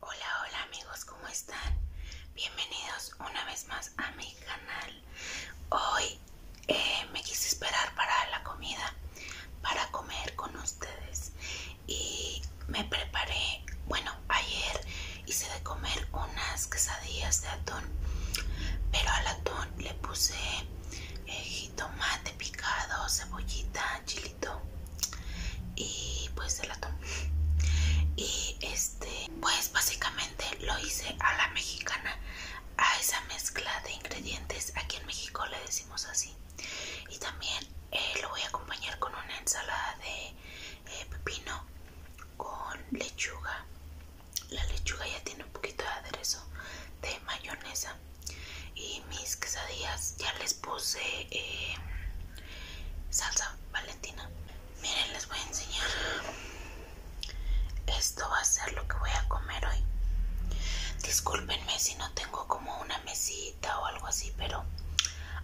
Hola, hola amigos, ¿cómo están? Bienvenidos una vez más a mi canal. Hoy eh, me quise esperar para la comida, para comer con ustedes. Y me preparé, bueno, ayer hice de comer unas quesadillas de atún, pero al atún le puse eh, jitomate picado, cebollita, chile y pues el la y este pues básicamente lo hice a la mexicana a esa mezcla de ingredientes aquí en México le decimos así y también eh, lo voy a acompañar con una ensalada de eh, pepino con lechuga la lechuga ya tiene un poquito de aderezo de mayonesa y mis quesadillas ya les puse eh, salsa valentina. Miren, les voy a enseñar. Esto va a ser lo que voy a comer hoy. Discúlpenme si no tengo como una mesita o algo así, pero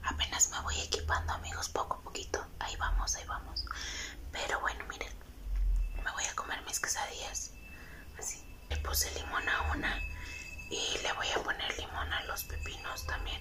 apenas me voy equipando, amigos, poco a poquito. Ahí vamos, ahí vamos. Pero bueno, miren, me voy a comer mis quesadillas. Así. Le puse limón a una y le voy a poner limón a los pepinos también.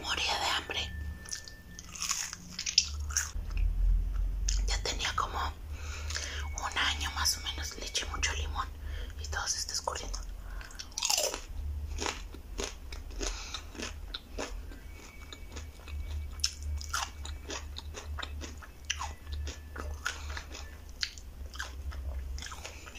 Moría de hambre. Ya tenía como un año más o menos. Le eché mucho limón y todo se está escurriendo.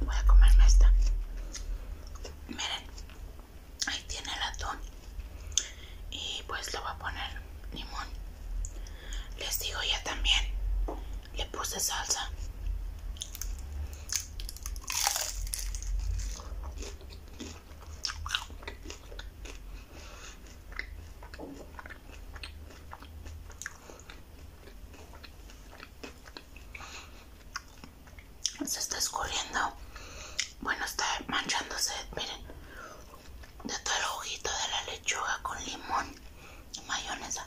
Voy a comerme esta. Miren, ahí tiene el atún. Y pues le voy a poner limón. Les digo ya también, le puse salsa se está escurriendo bueno está manchándose miren de todo el ojito de la lechuga con limón y mayonesa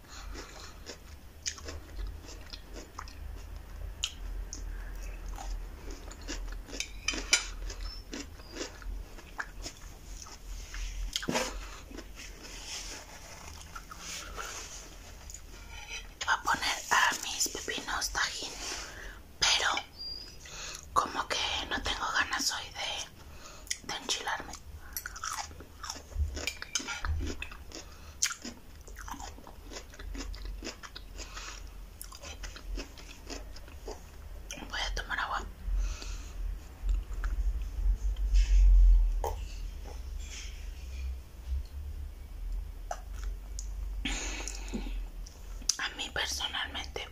Va a poner a mis pepinos tajín, pero como que no tengo ganas hoy de, de enchilarme. Voy a tomar agua. A mí personalmente,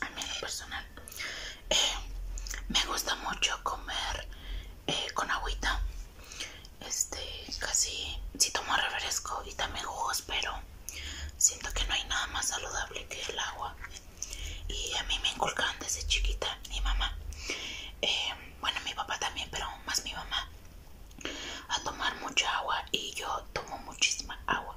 a mí personal, eh, me gusta mucho comer eh, con agüita este casi si tomo refresco y también jugos pero siento que no hay nada más saludable que el agua y a mí me inculcaron desde chiquita mi mamá em, bueno mi papá también pero más mi mamá a tomar mucha agua y yo tomo muchísima agua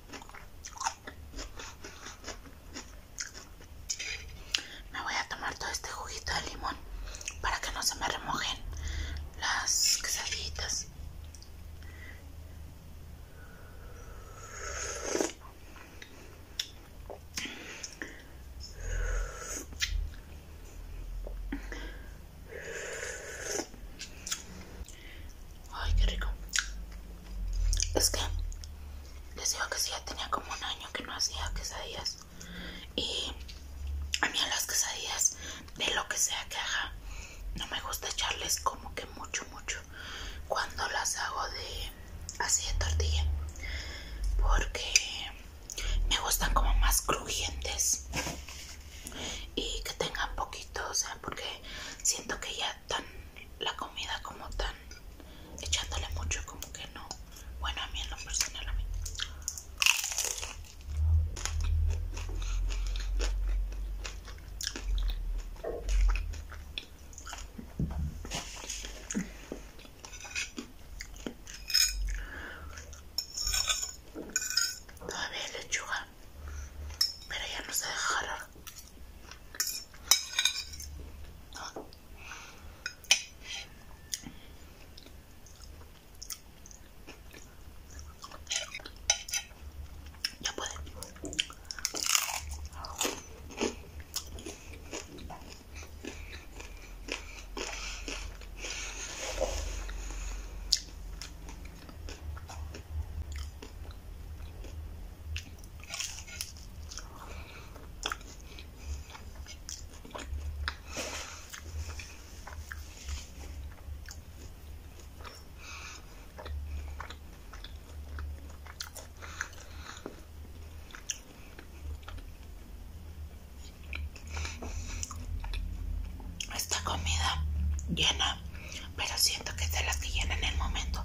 Me voy a tomar todo este juguito de limón para que no se me remojen las quesaditas. Ay, qué rico. Es que les digo que si ya tenía como un año que no hacía quesadillas. Y a mí a las quesadillas, de lo que sea que haga, no me gusta echarles como que mucho, mucho. Cuando las hago de así de tortilla. Porque me gustan como más crujientes. Y que tengan poquito, o sea, porque siento que ya tan la comida como tan echándole mucho como que no bueno a mí en lo personal a mí Todavía lechuga pero ya no se deja Ya puede. Esta comida llena pero siento que se la las que llenan el momento.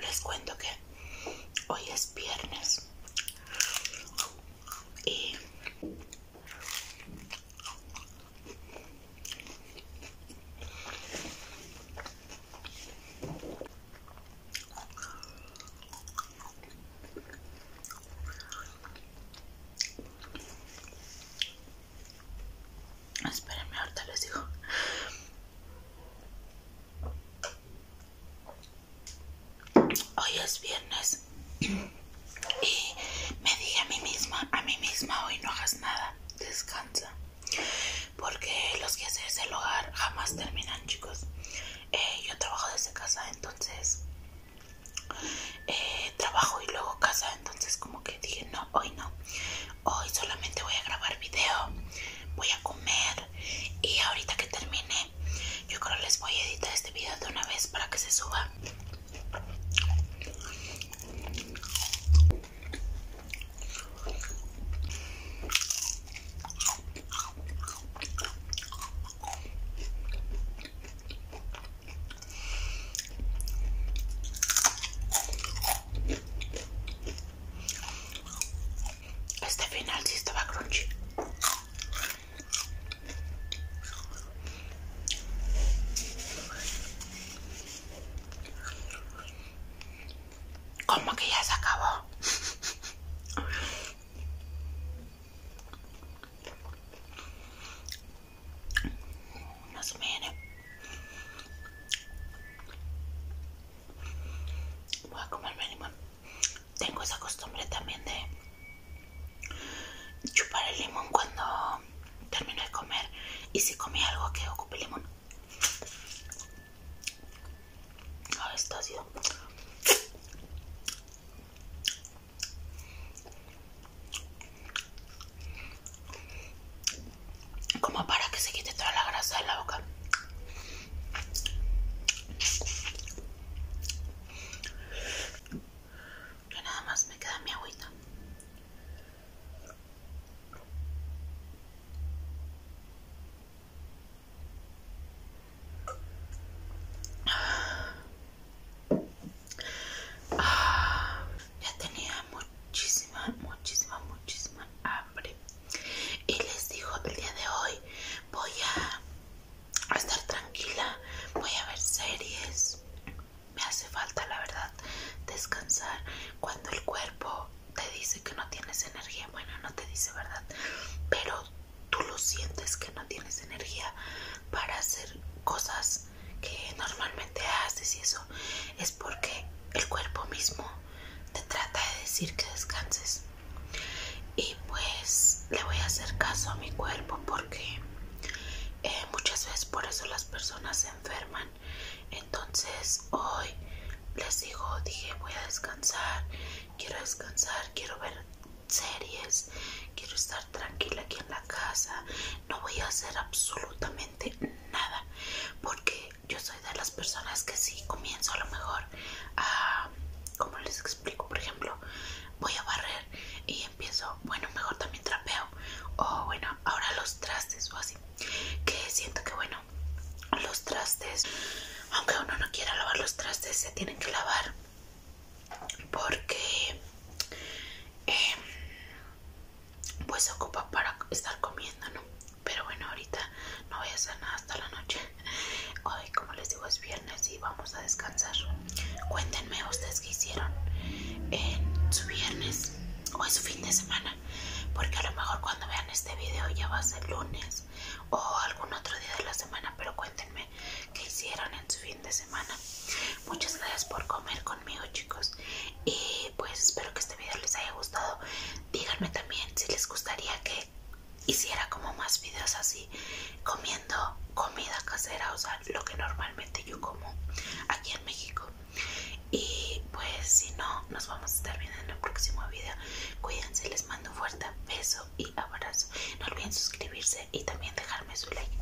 Les cuento que hoy es viernes y Espérenme, ahorita les digo. Hoy es viernes y me dije a mí misma, a mí misma hoy no hagas nada, descansa. Porque los que haces ese hogar jamás terminan, chicos. Eh, yo trabajo desde casa, entonces eh, trabajo y luego casa entonces como que dije no hoy no hoy solamente voy a grabar video voy a comer y ahorita que termine yo creo les voy a editar este video de una vez para que se suba este final si estaba crunchy. Como que ya se acabó más me viene voy a comerme limón tengo esa costumbre también de chupar el limón cuando termino de comer y si comí algo que ocupe limón Ahora esto ha sido como para que se quite toda la grasa de la boca. Yo nada más me queda mi agüita. Ah, ya tenía muchísima, muchísima, muchísima hambre. Y les digo, el día de hoy voy a, a estar tranquila, voy a ver series. Me hace falta, la verdad, descansar cuando el cuerpo te dice que no tienes energía. Bueno, no te dice verdad, pero tú lo sientes que no tienes energía para hacer cosas que normalmente haces y eso es porque el cuerpo mismo te trata de decir que descanses y pues le voy a hacer caso a mi cuerpo porque eh, muchas veces por eso las personas se enferman entonces hoy les digo dije voy a descansar quiero descansar quiero ver series quiero estar tranquila aquí en la casa no voy a hacer absolutamente nada porque yo soy de las personas que si comienzo a lo mejor a como les explico por ejemplo voy a barrer y empiezo bueno mejor también trapeo o bueno ahora los trastes o así que siento que bueno los trastes aunque uno no quiera lavar los trastes se tienen que lavar porque em, pues se ocupa para estar comiendo, ¿no? Pero bueno, ahorita no voy a hacer nada hasta la noche. Hoy, como les digo, es viernes y vamos a descansar. Cuéntenme ustedes qué hicieron en su viernes o en su fin de semana. Porque a lo mejor cuando vean este video ya va a ser lunes o algún otro día de la semana. Pero cuéntenme qué hicieron en su fin de semana. Muchas gracias por comer amigos chicos y pues espero que este video les haya gustado díganme también si les gustaría que hiciera como más videos así comiendo comida casera o sea lo que normalmente yo como aquí en México y pues si no nos vamos a estar viendo en el próximo video cuídense les mando un fuerte beso y abrazo no olviden suscribirse y también dejarme su like